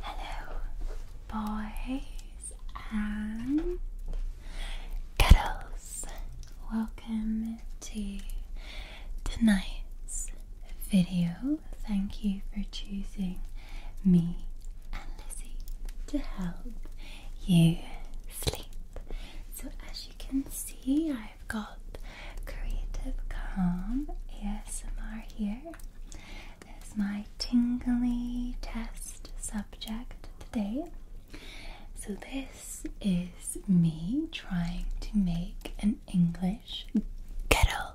Hello, boys and girls. Welcome to tonight's video. Thank you for choosing me and Lizzie to help you sleep. So, as you can see, I've got Creative Calm ASMR here is my tingly test subject today. So, this is me trying to make an English kettle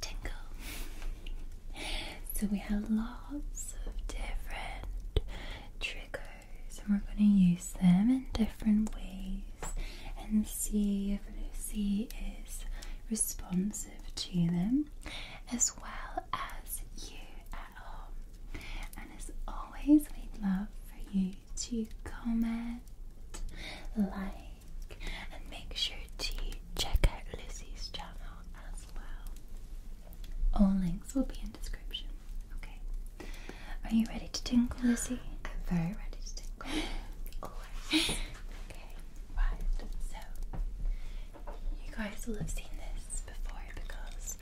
tingle. So, we have lots of different triggers, and we're going to use them in different ways and see if Lucy is responsive to them, as well as you at home. And as always, we'd love for you to comment, like, and make sure to check out Lucy's channel as well. All links will be in description. Okay. Are you ready to tingle, Lucy? I'm very ready to tingle. okay, right. So you guys will have seen this before because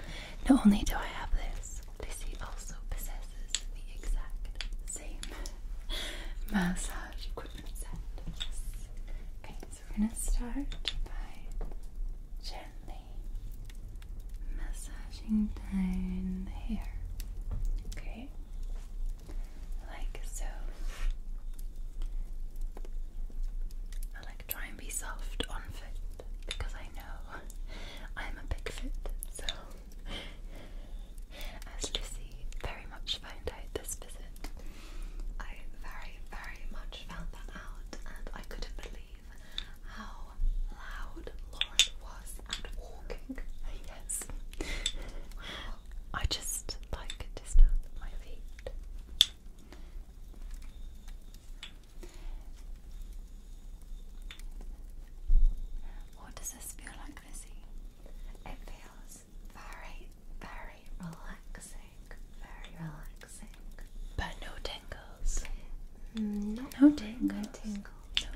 not only do I have this, Lizzie also possesses the exact same massage equipment set. Yes. Okay, so we're gonna start by gently massaging down the hair. Okay like so. I like try and be soft on foot because I know I'm a big foot. So, as Lucy very much found out this visit, I very, very much found that out, and I couldn't believe how loud Lauren was at walking. Yes. I just like to start my feet. What does this feel like, Lizzie? It feels very, very relaxing. Very relaxing. But no tingles. Mm, no tingles.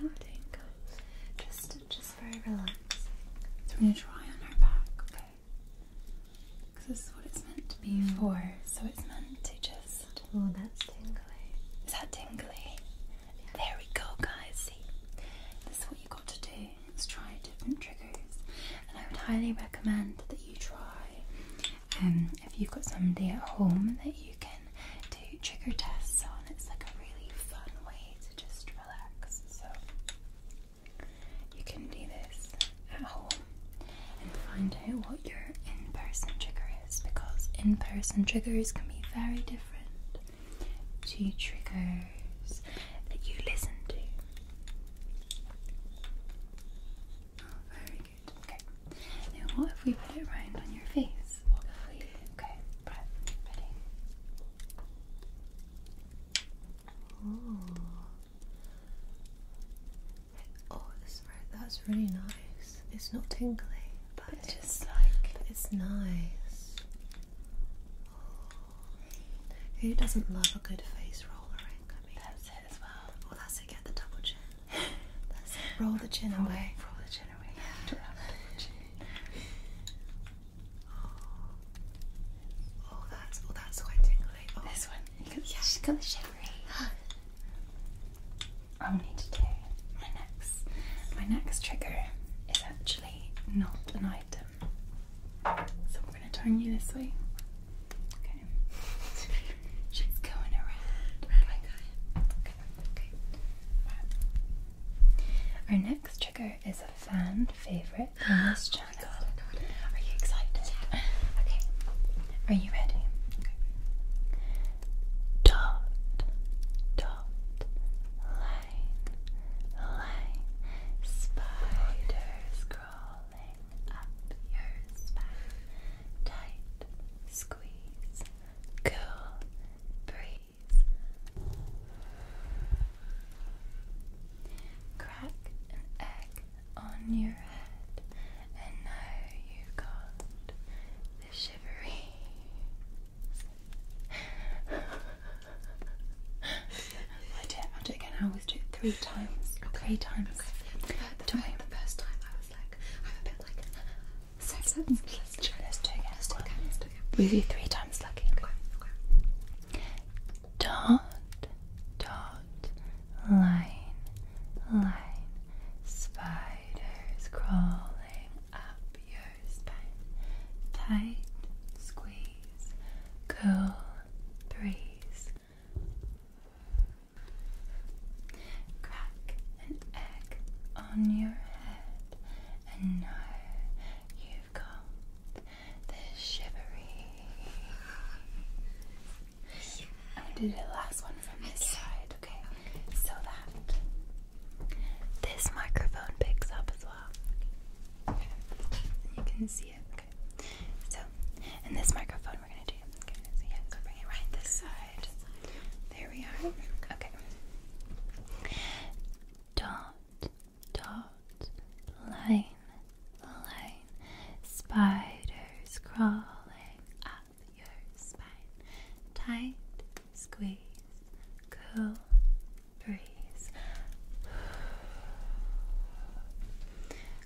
No tingles. Just, just is very relaxing. So we're going to try on our back, okay? Because this is what it's meant to be mm. for. So it's meant to just. Oh, that's tingling. Is that tingling? There we go, guys. See, this is what you have got to do. Let's try different triggers, and I would highly recommend that you try. Um, if you've got somebody at home that you can do trigger tests on, it's like a really fun way to just uh, so you can do this at home and find out what your in person trigger is because in person triggers can be very different to triggers that you listen to. Oh, very good. Okay. Now, what if we put it round on your face? What if we. Okay, right, Oh. Oh, that's really nice. It's not tingly, but, it's just like it's nice. Oh. Who doesn't love a good face roller eh, that's it as well. Oh, that's it. Get the double chin. Roll the chin away. Roll the chin away. Oh, oh that's oh that's quite tingly. Oh. This one. yeah. She's got the shivery. i need to do my next my next trigger is actually not an item. So we're gonna turn you this way. Okay. She's going around. Oh okay. okay. Our next Sugar is a fan favorite on this oh channel. Are you excited? Okay. Are you ready? Dot, dot, line, line, spiders crawling up your spine. Tight, squeeze, cool, breathe. Crack an egg on your head, and now you got the shivery. I did. I'll do it again. I always do it three times. Okay. Three times. Okay. The, the, the first time I was like, I'm like. So let with you three times lucky. Dot, dot, line, line, spiders crawling up your spine. Tight, squeeze, cool, breeze. Crack an egg on your head and now you've got the shivery. I'm going to do the last one from this side, okay? So that this microphone picks up as well. Okay. You can see it, okay? So, in this microphone, we're going to do so bring it right this side. There we are. Okay. Dot dot, line, line, spiders crawling up your spine. Tight, squeeze, cool, breeze.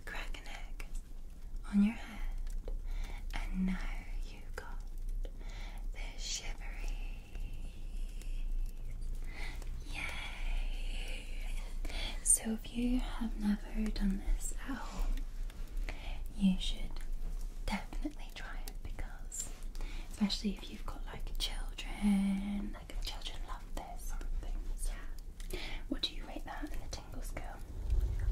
Crack an egg on your head, and now you got this shivery Yay! So, if you have never done this at home, you should definitely try it because, especially if you've got like children, like children love this sort of thing. yeah. What do you rate that in the tingle scale?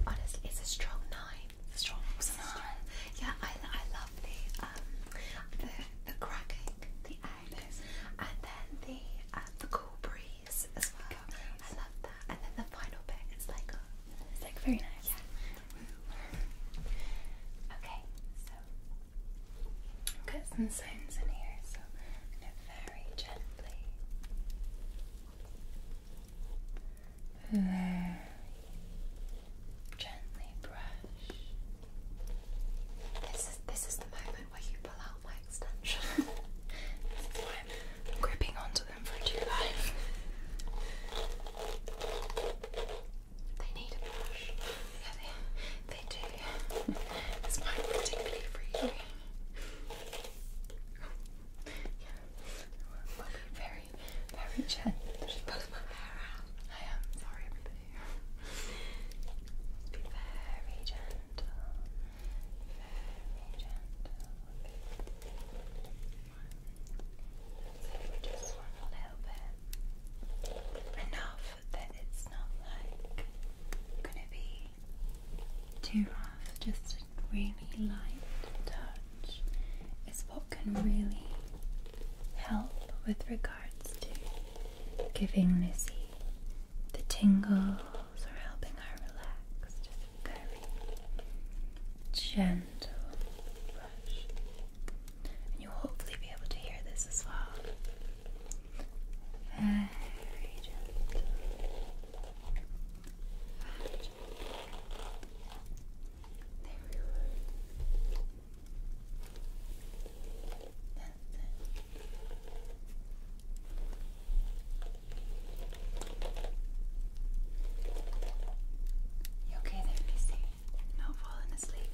Honestly, it's a strong nine. a strong nine. Yeah, I, I love the um the the cracker the eyelids, and then the uh, the cool breeze as well. I love that. And then the final bit is like it's like very nice. Yeah. okay, so got some sounds in here, so very gently, very Gently brush. This is this is the moment where you pull out my extension. this is why i gripping onto them for dear life. They need a brush. Yeah, they they do. It's mine particularly for you. very, very gentle. Just my hair out. I am sorry, everybody. Be very gentle. Very gentle. just one little bit. Enough that it's not like gonna be too rough. Just a really light touch is what can really help with regard to giving Missy the tingles or helping her relax. very gentle brush. And you'll hopefully be able to hear this as well. Very gentle. Very There we go. You okay there, Casey? Not falling asleep?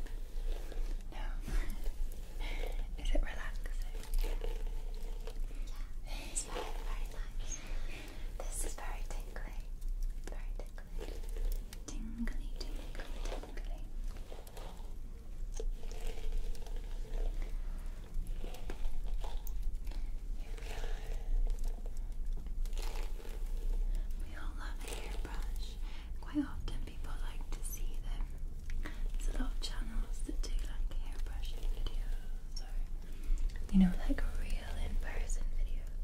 No. Is it relaxing? Yeah, it's very, very nice. This is very tingly. Very tingly. Tingly, tingly, tingly. We all love an airbrush. Quite often people like to see them. There's a lot channels that do like airbrushing videos or you know like real in-person videos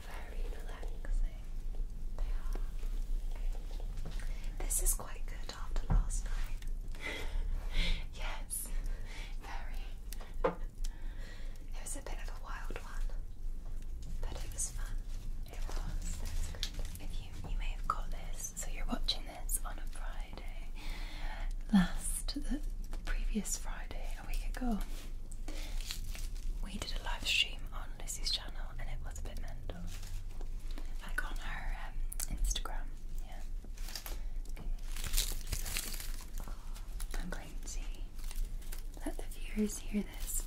very relaxing. They are. This is quite good after last night. yes, very. It was a bit of a wild one, but it was fun. It was. If you you may have got this, so you're watching this on a Friday. Last the, previous Friday a week ago, we did a live stream on Lizzie's and it was a bit mental. Like on her um, Instagram, yeah. I'm going to let the viewers hear this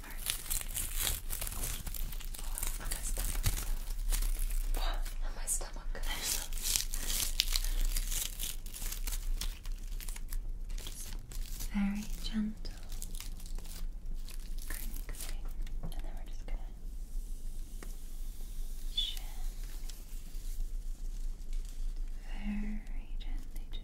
What? my stomach. very gentle crinkling, and then we're just gonna gently, very gently, just.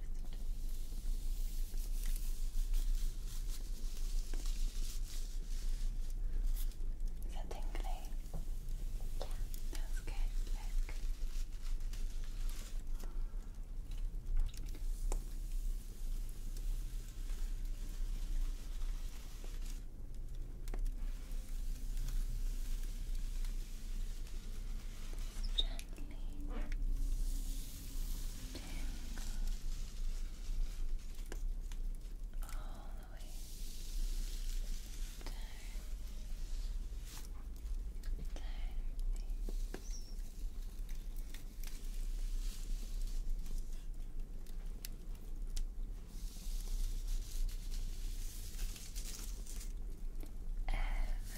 Is that tingly? Yeah, that's good. Look. Gently tingle all the way down, down your face,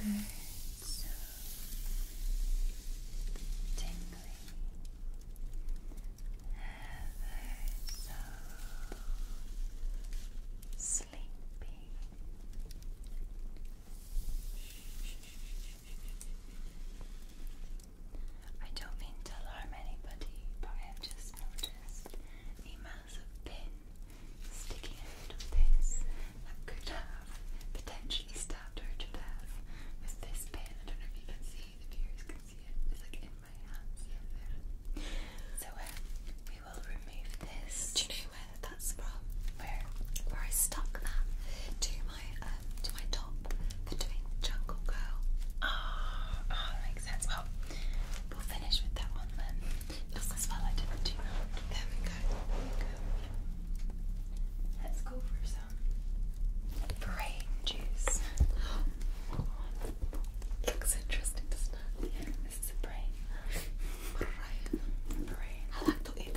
Ever so tingly, ever so sleepy. I don't mean to alarm anybody, but I have just noticed a massive pin sticking out this that could have potentially stabbed her to death with this pin. I don't know if you can see, the viewers can see it. It's like in my hands. So um, we will remove this. Do you know where that's from? Where? Where I stuck that. Two my um, to my top for doing Jungle Girl. Ah, oh, makes sense. Well, we'll finish with that one then. Just as well, I didn't There we go. There we go. Let's go for some brain juice. Looks interesting, doesn't it? this is a brain. brain. Brain. I like the it you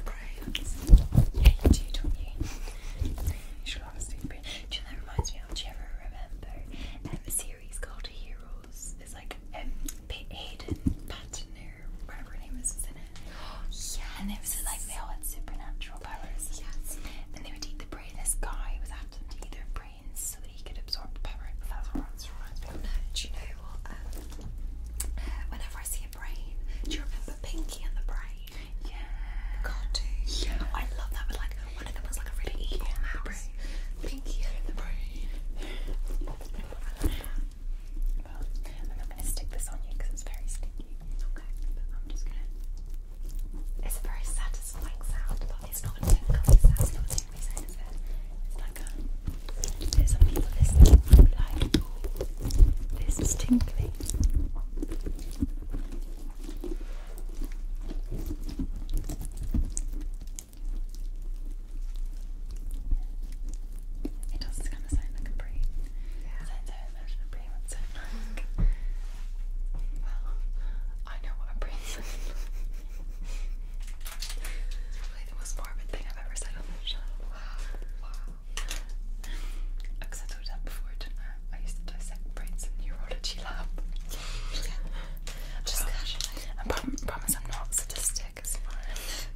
do, don't you? Do that reminds me of? Do you ever remember um, a series called Heroes? It's like M. Um, P. Hayden Patton or whatever name is in it. Yes. And it was like they all had supernatural powers. Yes. And they would eat the brain. This guy was after their brains so that he could absorb the power. That's what it reminds me of. do you know what? Um, whenever I see a brain, do you remember Pinky and the Brain? Yeah. I love that. But like one of them was like a really evil Pinky and the brain. I love that. gonna stick this on you because it's very sticky. Okay. I'm just gonna. It's a very satisfying sound, but it's not a tingly sound. It's not a tingly sound, It's like a. Some people listen to like, oh, this is tingly. Okay. It does kind of sound like a brain. Sounds how I imagine a brain would sound like. well, I know what a brain sounds Probably the most morbid thing I've ever said on this show. Because I told you that before, didn't I? I used to dissect brains in neurology lab. I'm oh. I promise I'm not sadistic.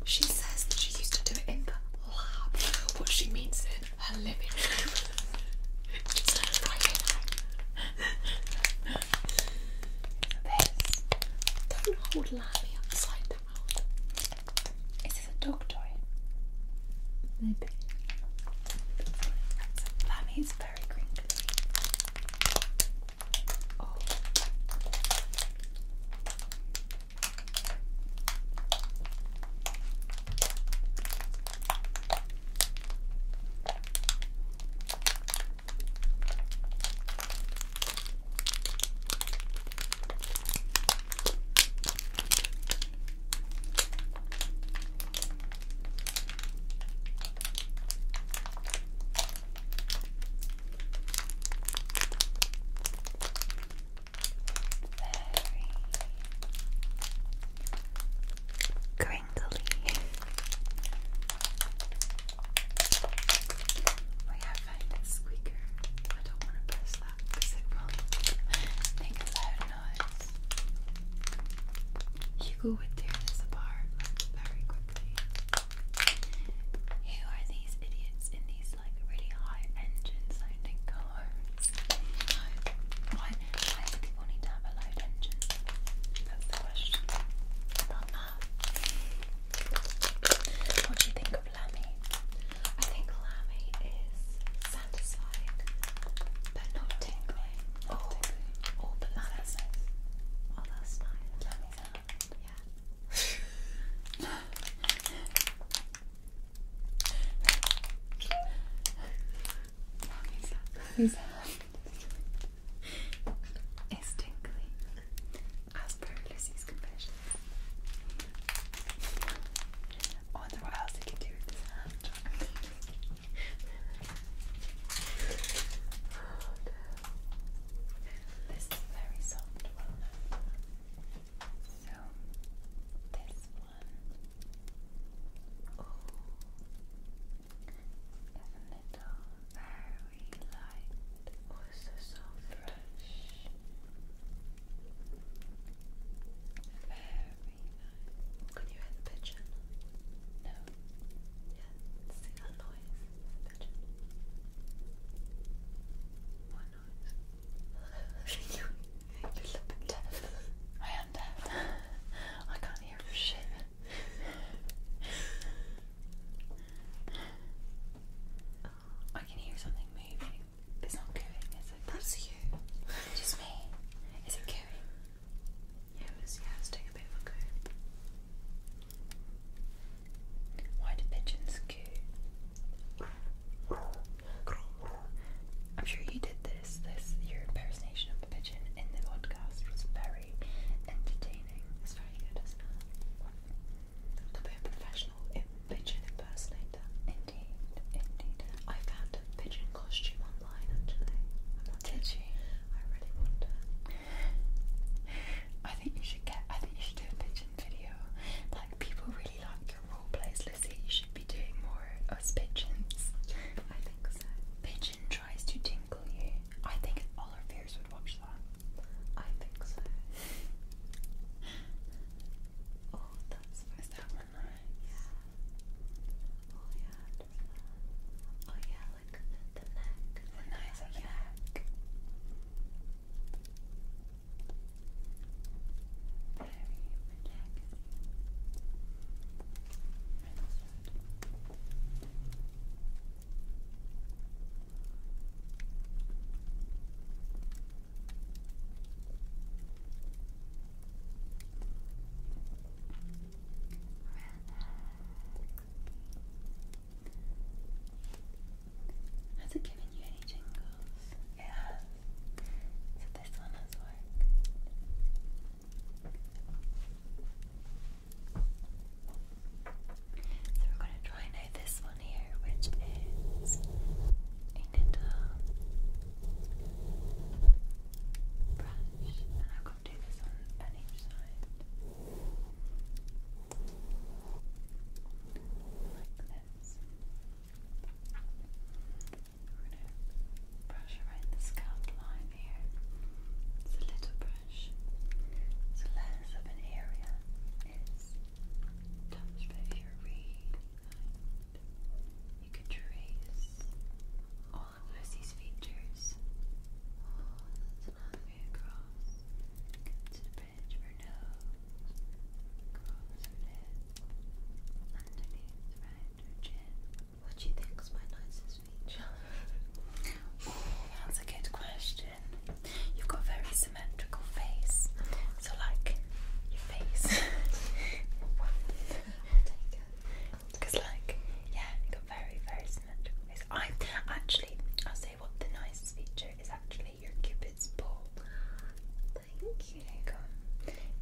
She says that she used to do it in the lab. What she means is her living room. This. Don't hold Lally upside down. Is this a dog toy? Maybe. That means very crinkly. Oh. Very crinkly. Oh yeah, find it's squeaker. I don't want to press that because it really make a loud noise. tear this apart very quickly. Who are these idiots in these like really high engine sounding cars? Why, why do people need to have a loud engine? That's the question. that. What do you think of Lammy. I think Lammy is satisfied, but not tingly. oh, Oh, but that's nice. Oh, that's nice. Lammy's out. Yeah. Lammy's out. It's tingly. As per Lucy's confession. I wonder what else can do this This is very soft So this one oh, isn't it very light? Oh, so soft nice. Can you hear the pigeon? No. Yeah, see that noise? pigeon. What noise? you, you're deaf. I am deaf. I can't hear shit. I can hear something moving is it? That's you. Just me. Is it cooing? Yeah, it was, yeah, it's doing a bit of a coo. Why do pigeons coo? I'm sure you did this. This your impersonation of the pigeon in the podcast was very entertaining. It's very good, isn't it? a bit professional pigeon impersonator. Indeed, indeed. I found a pigeon costume online actually. Did you? I really want I think you should get. I think you should do a pigeon video. Like people really like your role plays, Lizzie. You should be doing more us pigeons. I think so. Pigeon tries to tinkle you. I think all our viewers would watch that. I think so. Oh, that's Is that one nice? Yeah. Oh, yeah. Oh, yeah, look the, neck. The nice neck. Very relaxing. Has it given you any jingles? It So this one has worked. So we're going to try now this one here, which is a little brush, and I'm going to do this on, each side, like this. We're going to brush around the scalp line here. It's a little brush, so less of an area is touched, but if you're you could trace all of Lucy's features all the way across to the bridge of nose, across her lip, underneath right her chin. What do you think's my nicest feature? oh, that's a good question. You've got very symmetrical face. So like your face. Because like yeah, you got very very symmetrical face. I actually I'll say what the nicest feature is actually your cupid's bow. Thank you. you go.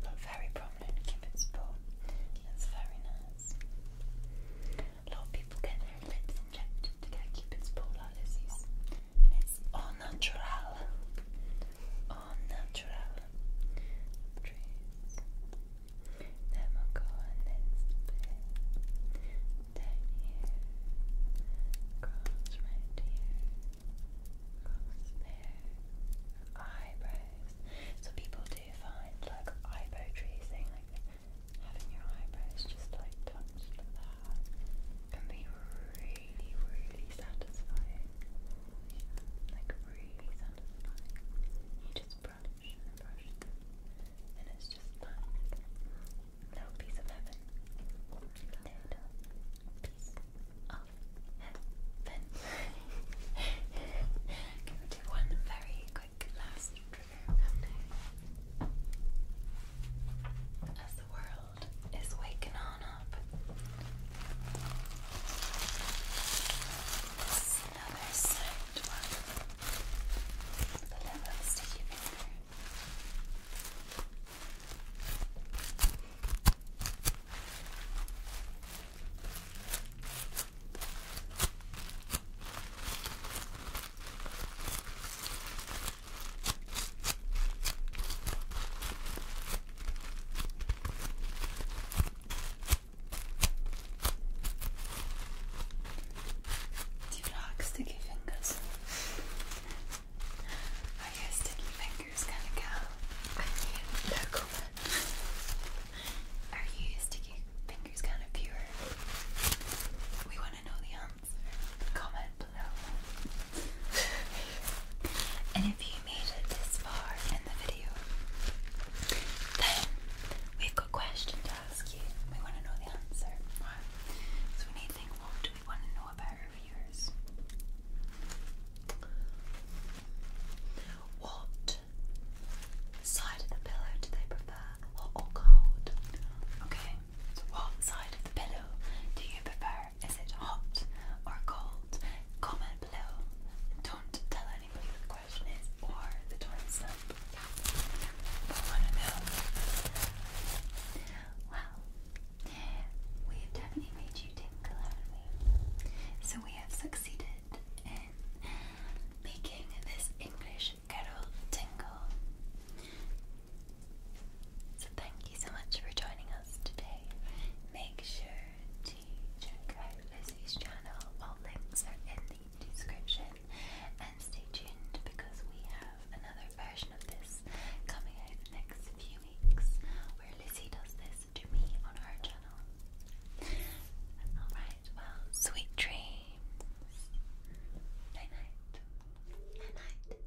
Not very prominent cupid's bow. That's very nice. A lot of people get their lips injected to get cupid's bow like this. It's all natural all natural trees. Then we'll go on this bit right here, cross there, eyebrows. So people do find like eyebrow tracing, like having your eyebrows just like touched can be really really, really satisfying. Like really satisfying. You just brush brush and it's just nice. Little piece of heaven. Little piece of heaven. Can we do one very quick last trigger? As the world world is waking on up. another sound one. The little sticky do you like sticky fingers? I guess sticky fingers gonna go. Are you sticky fingers kind of pure? We want to know the answer. Comment and if you made it this far in the video, then we've got a question to ask you. We want to know the answer. So we what do we want to know about our viewers? What side of the pillow do they prefer? Hot or cold? Okay. So what side of the pillow do you prefer? Is it hot or cold? Comment below. Don't tell anybody what the question is or the timestamp. But want to know. Well, we have definitely made you tingle, So we have succeeded in making this English kettle tingle. So thank you so much for joining us today. Make sure to check out Lizzie's channel. All links are in the description. And stay tuned because we have another version of this coming out next few weeks where Lizzie does this to me on her channel. Alright, well, sweet dreams. Night night. Night night.